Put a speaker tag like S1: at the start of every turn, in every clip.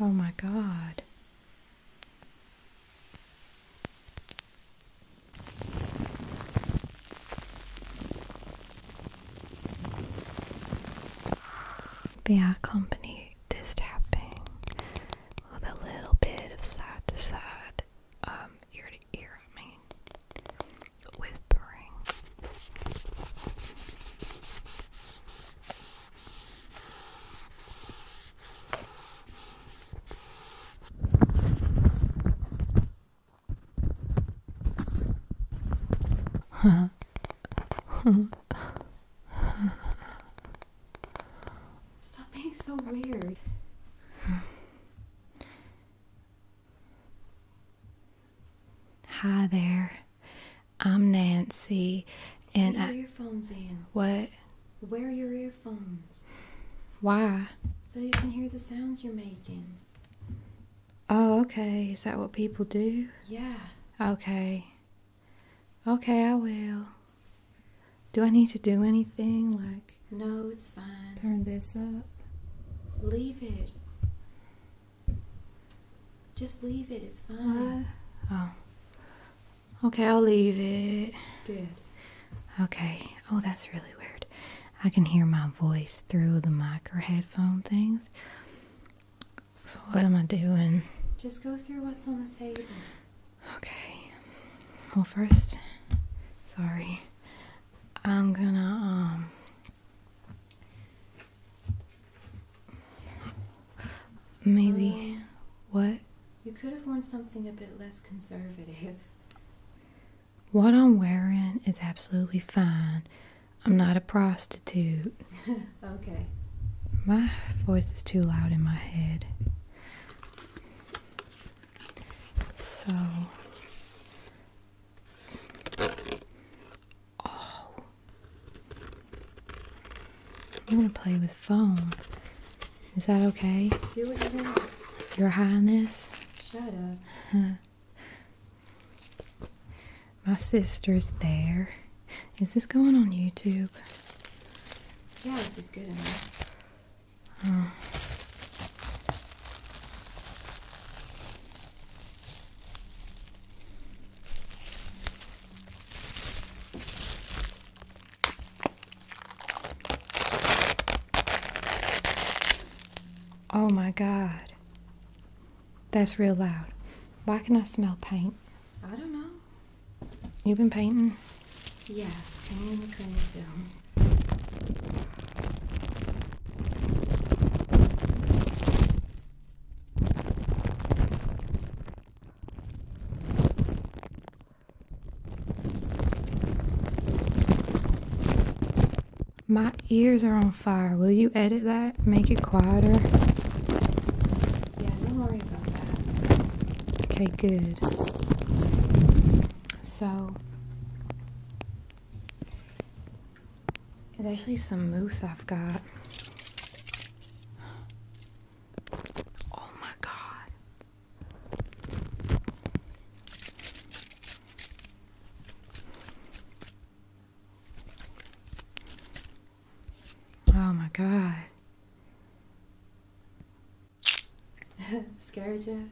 S1: Oh my God. May I accompany this tapping with a little bit of side to side, um, ear to ear, I mean whispering. Stop being so weird. Hi there. I'm Nancy. And Put your earphones in. What? Wear your earphones. Why? So you can hear the sounds you're making. Oh, okay. Is that what people do? Yeah. Okay. Okay, I will. Do I need to do anything? Like. No, it's fine. Turn this up. Leave it. Just leave it, it's fine. Oh. Okay, I'll leave it. Good. Okay. Oh, that's really weird. I can hear my voice through the micro headphone things. So, what am I doing? Just go through what's on the table. Okay. Well, first, sorry. I'm gonna, um, Maybe. Um, what? You could have worn something a bit less conservative. What I'm wearing is absolutely fine. I'm not a prostitute. okay. My voice is too loud in my head. So. I'm gonna play with foam. Is that okay? Do it Your Highness. Shut up. My sister's there. Is this going on YouTube? Yeah, it's good enough. Oh my God. That's real loud. Why can I smell paint? I don't know. You've been painting? Yeah, painting the cleaning my ears are on fire. Will you edit that? Make it quieter? Okay, good. So, there's actually some moose I've got. Oh my god. Oh my god. Scared you?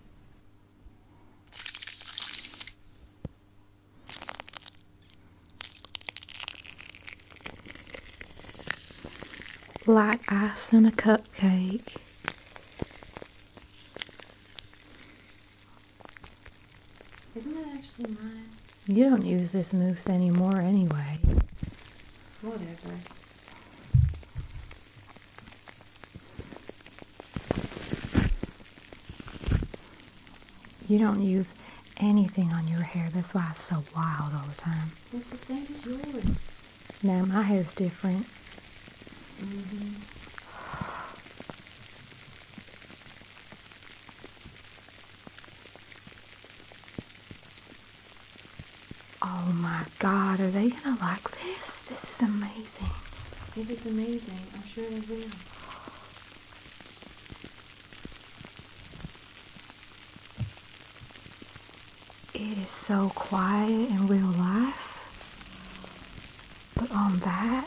S1: Like ice in a cupcake. Isn't that actually mine? You don't use this mousse anymore anyway. Whatever. You don't use anything on your hair. That's why it's so wild all the time. It's the same as yours. Now my hair's different. Mm-hmm. Oh my God, are they gonna like this? This is amazing. If it's amazing, I'm sure they will. It is so quiet in real life, but on that,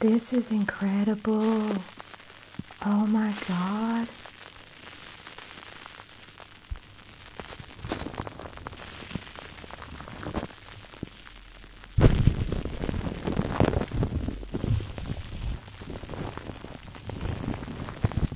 S1: This is incredible. Oh my God.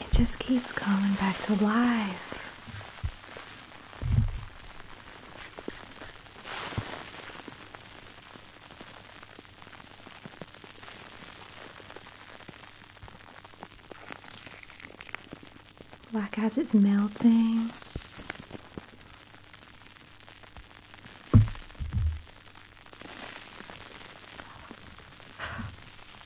S1: It just keeps coming back to life. Like as it's melting.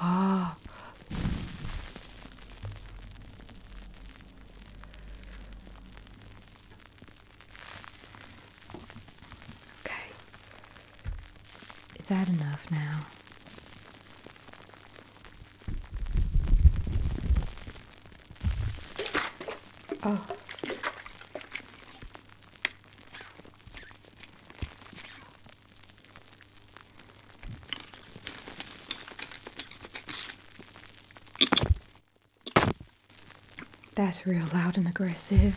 S1: Ah. Okay. Is that enough now? Oh. That's real loud and aggressive.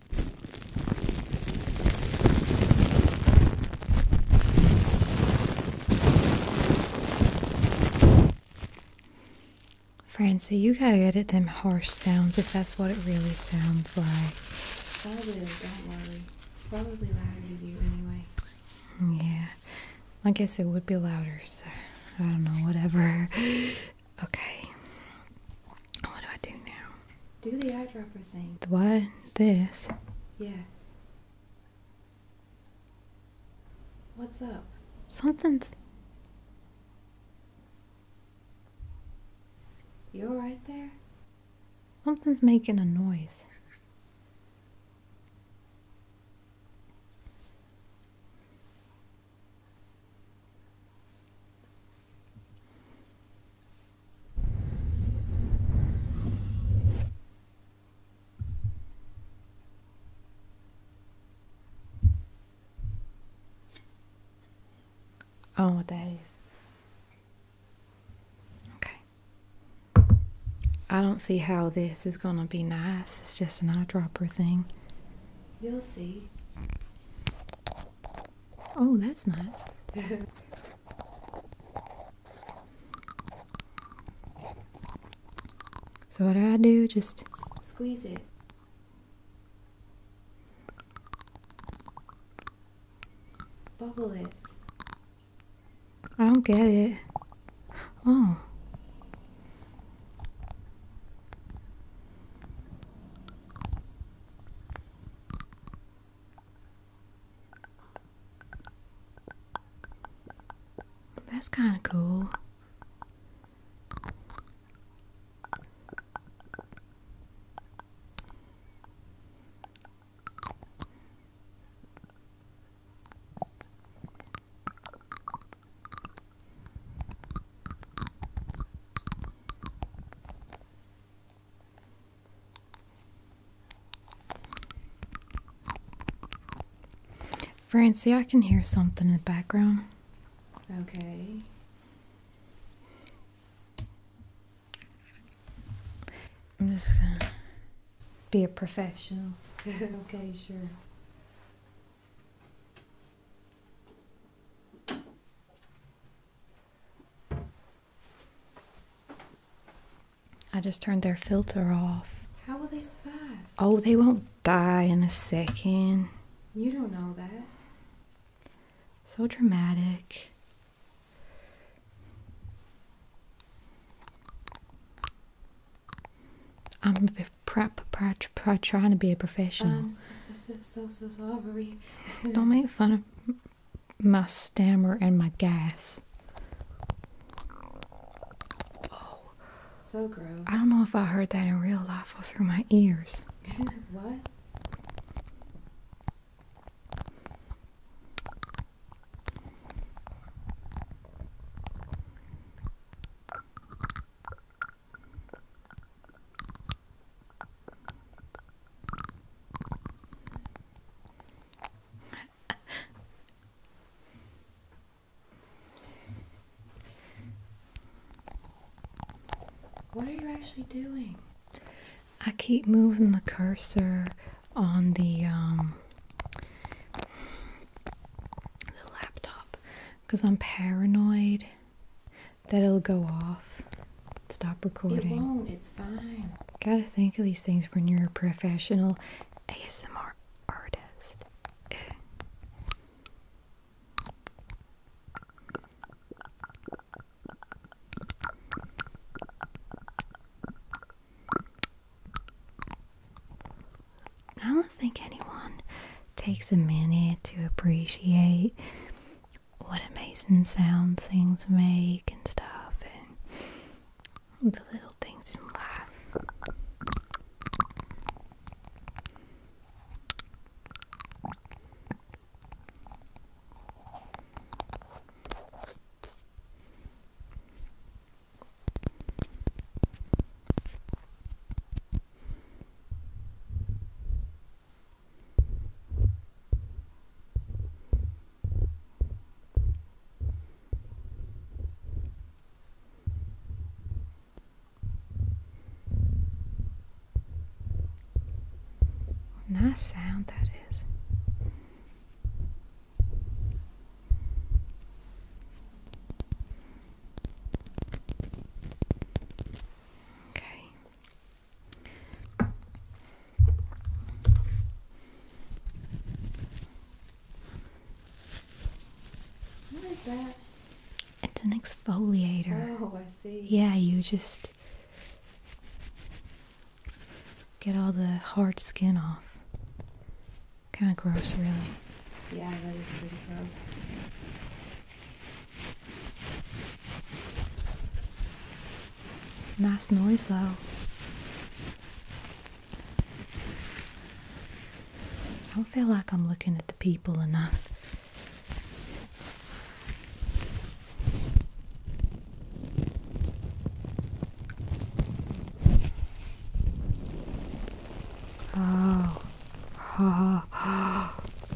S1: Francie, you gotta edit them harsh sounds if that's what it really sounds like. Probably, don't worry. It's probably louder to you anyway. Yeah, I guess it would be louder, so I don't know, whatever. Okay. What do I do now? Do the eyedropper thing. The what? This? Yeah. What's up? Something's. You are right there? Something's making a noise. Oh, that is. Okay. I don't see how this is going to be nice. It's just an eyedropper thing. You'll see. Oh, that's nice. so what do I do? Just squeeze it. Bubble it. I don't get it. Oh. That's kind of cool. Francie, I can hear something in the background. Okay. I'm just gonna be a professional. okay, sure. I just turned their filter off. How will they survive? Oh, they won't die in a second. You don't know that. So dramatic. I'm a prep, prep, tr trying to be a professional. Um, don't make fun of my stammer and my gas. So gross. I don't know if I heard that in real life or through my ears. what? what are you actually doing? I keep moving the cursor on the um, the laptop because I'm paranoid that it'll go off. Stop recording. It won't. It's fine. Gotta think of these things when you're a professional ASMR artist. I don't think anyone takes a minute to appreciate what amazing sounds things make and stuff and the little things in life nice sound that is. Okay. What is that? It's an exfoliator. Oh, I see. Yeah, you just get all the hard skin off. Kind of gross, really. Yeah, that is pretty gross. Nice noise though. I don't feel like I'm looking at the people enough. Oh.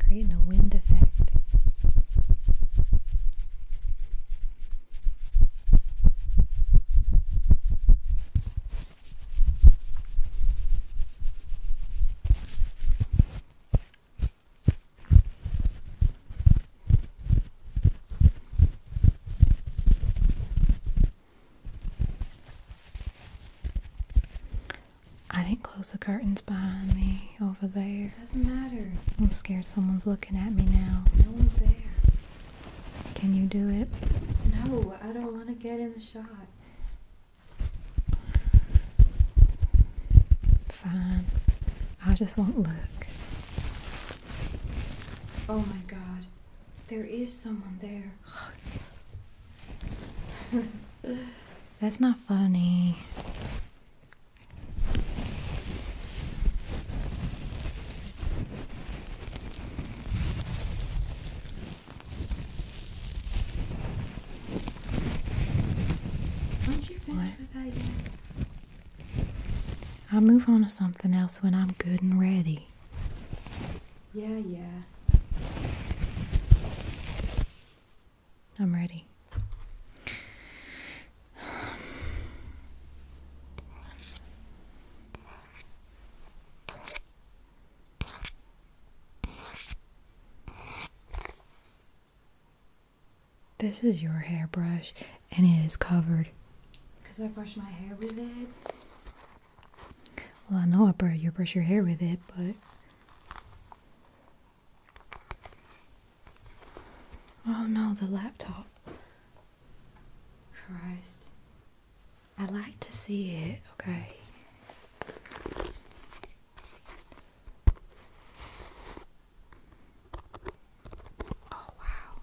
S1: Creating a wind effect. I didn't close the curtains behind me over there. Doesn't matter. I'm scared someone's looking at me now. No one's there. Can you do it? No, I don't want to get in the shot. Fine. I just won't look. Oh my god. There is someone there. That's not funny. I'll move on to something else when I'm good and ready. Yeah, yeah. I'm ready. This is your hairbrush and it is covered. Because I brush my hair with it. Well, I know I brush, you brush your hair with it, but Oh no, the laptop. Christ. I like to see it, okay. Oh wow.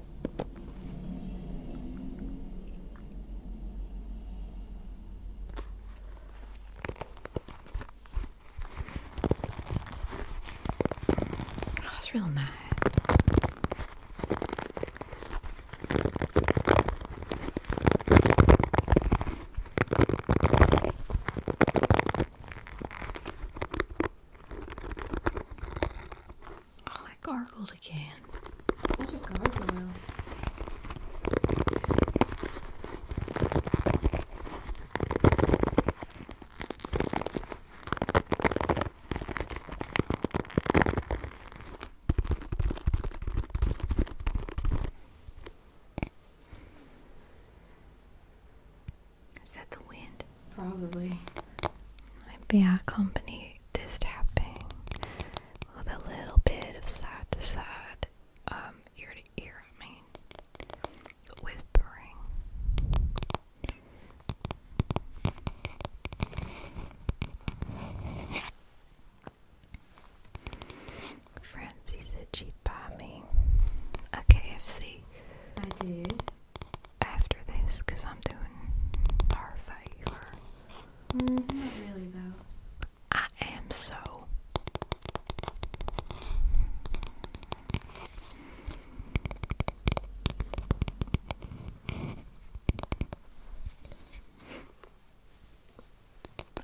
S1: Oh, that's real nice. Oh, I gargled again. Such a gargle. Is that the wind? Probably. Might be our company this tapping with a little bit of side to side, um, ear to ear, I mean, whispering. Francie said she'd buy me a KFC. I did. After this, because I'm doing our favor. Mm, not really, though. I am so.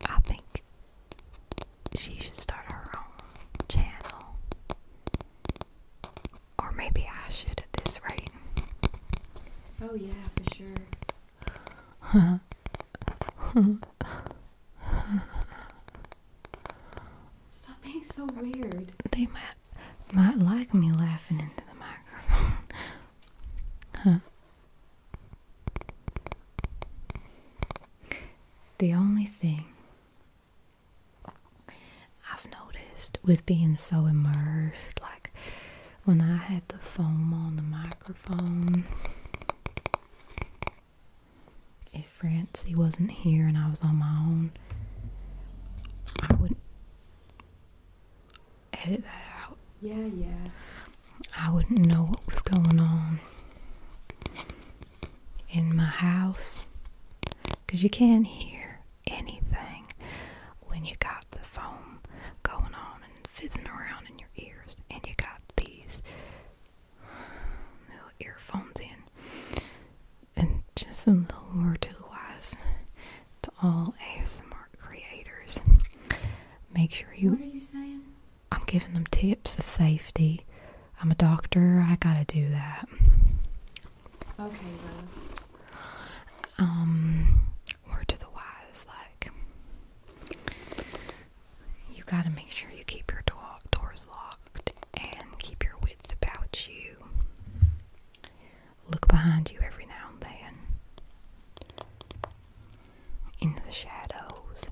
S1: I think she should start her own channel or maybe I should at this rate. Oh, yeah, for sure. Stop being so weird. They might, might like me laughing into the microphone. The only thing I've noticed with being so immersed, like when I had the foam on the microphone, if Francie wasn't here and I was on my own, I would edit that out. Yeah, yeah. I wouldn't know what was going on in my house because you can't hear anything when you got the foam going on and fizzing around in your ears and you got these little earphones in and just a little more to the wise to all ASMR creators. Make sure you What are you saying? I'm giving them tips of safety. I'm a doctor, I gotta do that. Okay, then. Um, word to the wise, like you gotta make sure you keep your door doors locked and keep your wits about you. Look behind you every now and then. Into the shadows.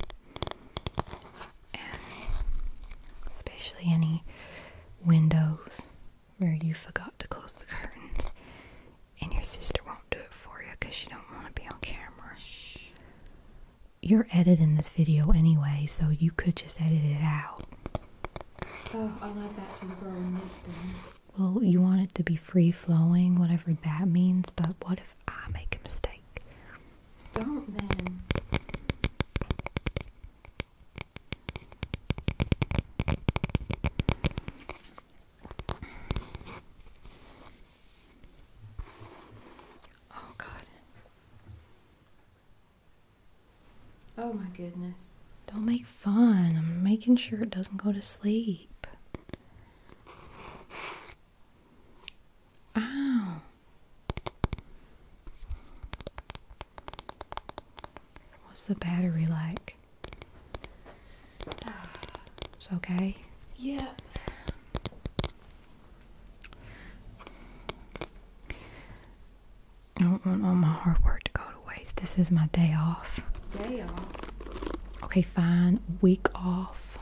S1: And especially any windows where you forgot to close the curtains and your sister won't do it for you because she don't want to be on camera. You're editing this video anyway, so you could just edit it out. Oh, I like that to grow in this thing. Well, you want it to be free flowing, whatever that means, but what if I make a mistake? Don't then. Oh, God. Oh, my goodness. Don't make fun. I'm making sure it doesn't go to sleep. Ow. What's the battery like? It's okay. Yep. don't want all my hard work to go to waste. This is my day off. Day off. Okay, fine. Week off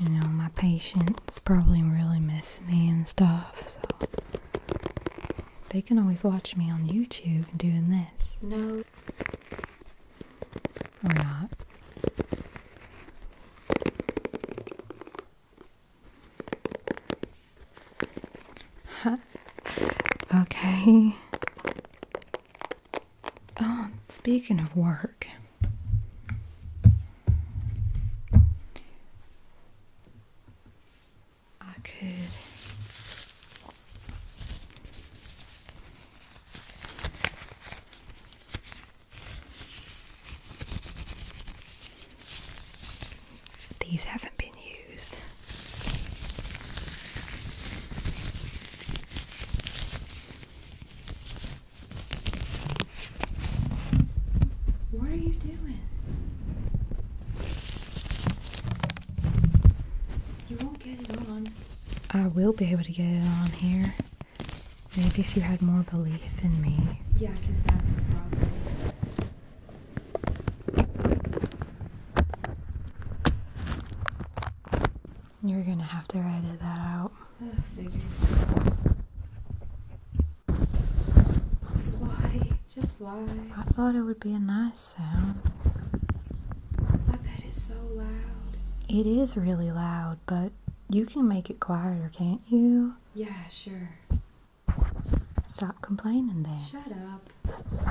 S1: you know, my patients probably really miss me and stuff, so they can always watch me on YouTube doing this. No. Or not. Huh. Okay. Oh, speaking of work. I could these haven't been used. What are you doing? You won't get it on. I will be able to get it on here. Maybe if you had more belief in me. Yeah, because that's the problem. You're gonna have to edit that out. I figured. Why? Just why? I thought it would be a nice sound. I bet it's so loud. It is really loud, but you can make it quieter, can't you? Yeah, sure. Stop complaining there. Shut up.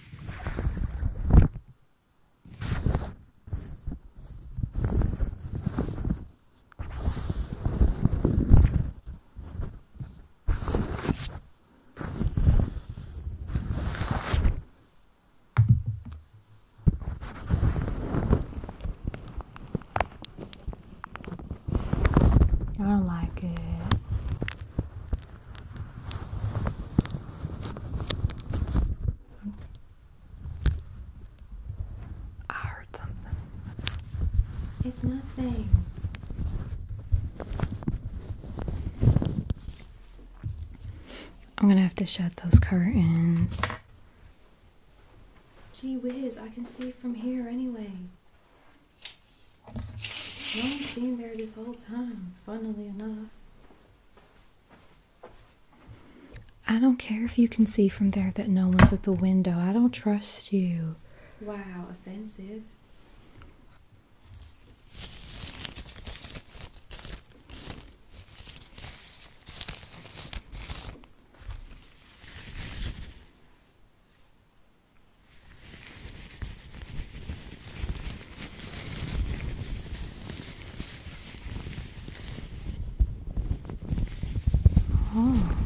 S1: I don't like it. I heard something. It's nothing. I'm gonna have to shut those curtains. Gee whiz, I can see from here anyway. I've been there this whole time, funnily enough. I don't care if you can see from there that no one's at the window. I don't trust you. Wow, offensive. Oh.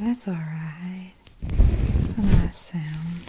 S1: That's all right. A nice sound.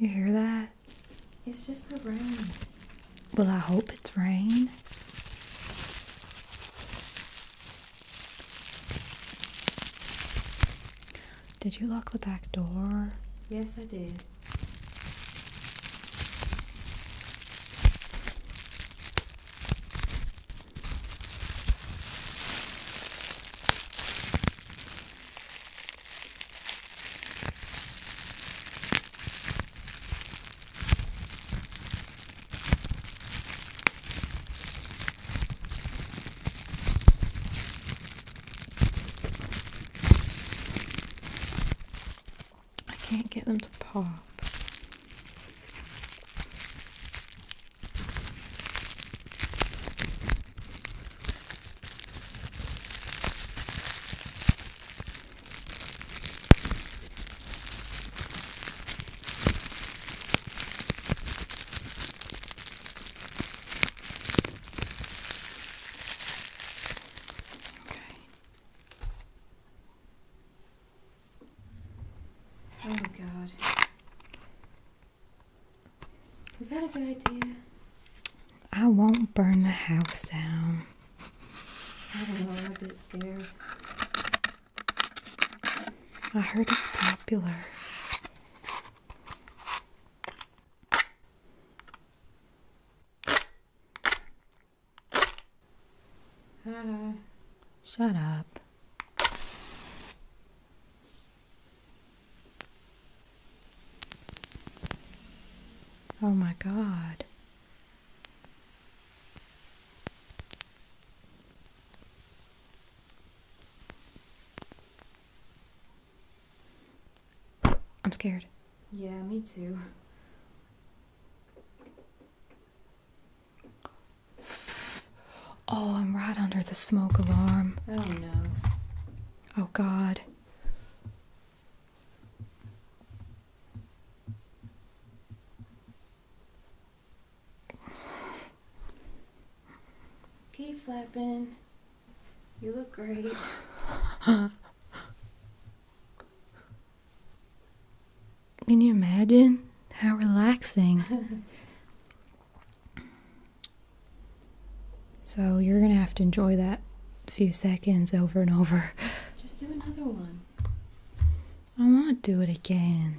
S1: You hear that? It's just the rain. Well, I hope it's rain. Did you lock the back door? Yes, I did. I can't get them to pop. Oh god. Is that a good idea? I won't burn the house down. I am a bit scared. I heard it's popular. Shut up. Oh my god. I'm scared. Yeah, me too. Oh, I'm right under the smoke alarm. Oh no. Oh god. Keep flapping. You look great. Can you imagine? How relaxing. so you're going to have to enjoy that few seconds over and over. Just do another one. I want to do it again.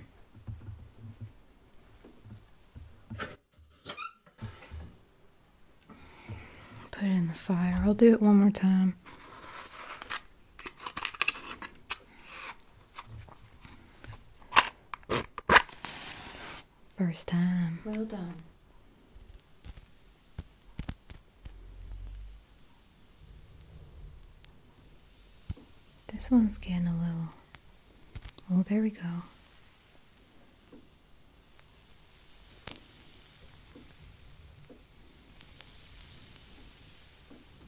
S1: Put it in the fire. I'll do it one more time. First time. Well done. This one's getting a little. Oh, there we go.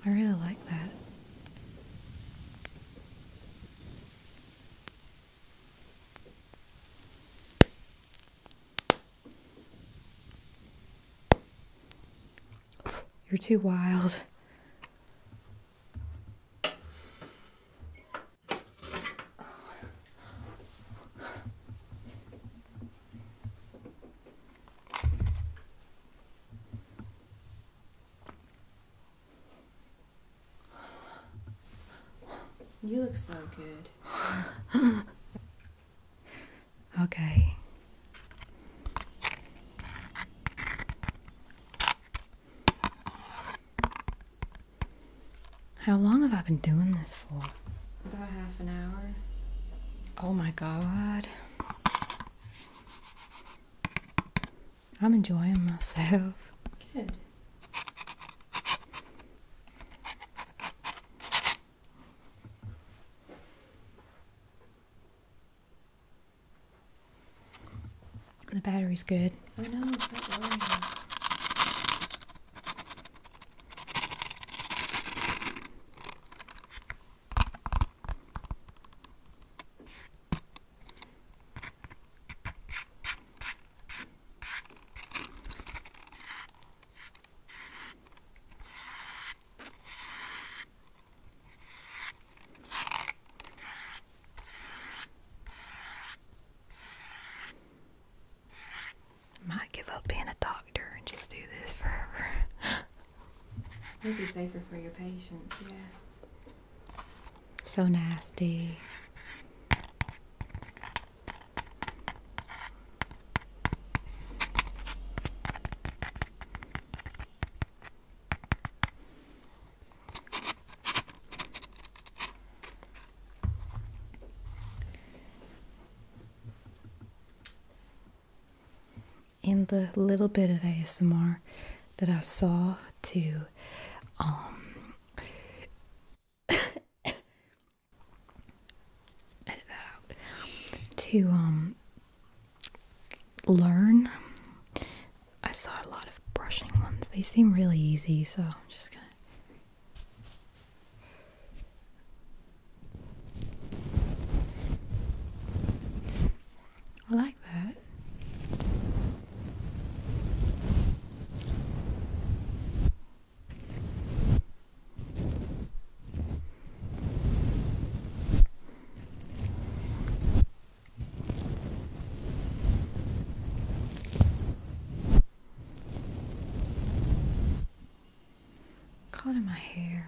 S1: I really like that. You're too wild. You look so good. Okay. How long have I been doing this for? About half an hour. Oh my god. I'm enjoying myself. Good. The battery's good. I oh, know. it's not working. Might give up being a doctor and just do this forever. would be safer for your patients, yeah. So nasty. In the little bit of ASMR that I saw, to um, edit that out. To um, learn. I saw a lot of brushing ones. They seem really easy, so I'm just gonna. I like that. Caught in my hair.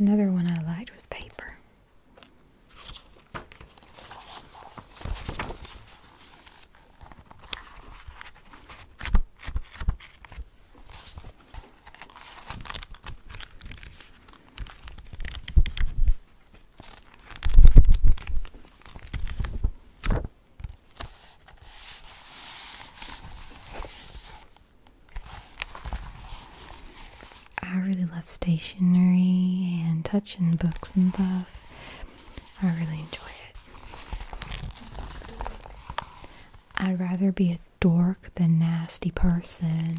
S1: Another one I liked was paper. I really love stationery and touching books and stuff. I really enjoy it. I'd rather be a dork than nasty person.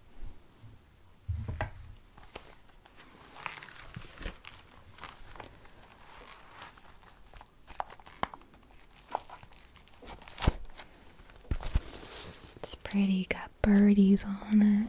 S1: It's pretty, got birdies on it.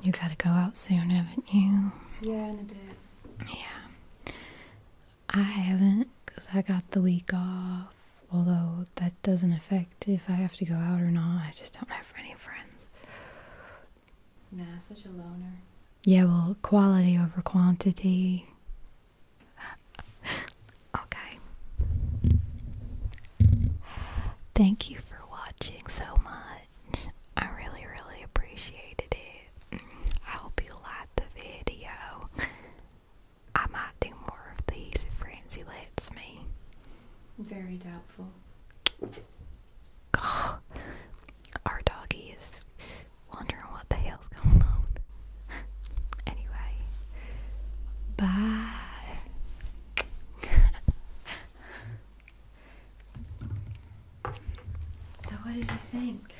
S1: You gotta go out soon, haven't you? Yeah, in a bit. Yeah. I have 'cause I got the week off although that doesn't affect if I have to go out or not. I just don't have any friends. Nah, such a loner. Yeah, well, quality over quantity. okay. Thank you for watching so much. I really, really appreciated it. I hope you liked the video. I might do more of these if Francie lets me. Very doubtful. our doggy is wondering what the hell's going on. anyway, bye. so, what did you think?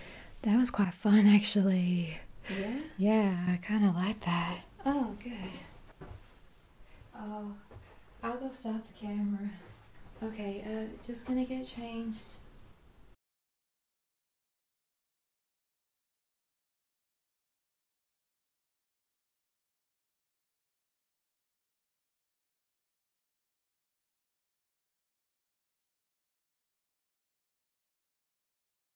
S1: That was quite fun, actually. Yeah? Yeah, I kind of like that. Oh, good. Oh, I'll go stop the camera. Okay, uh, just gonna get changed.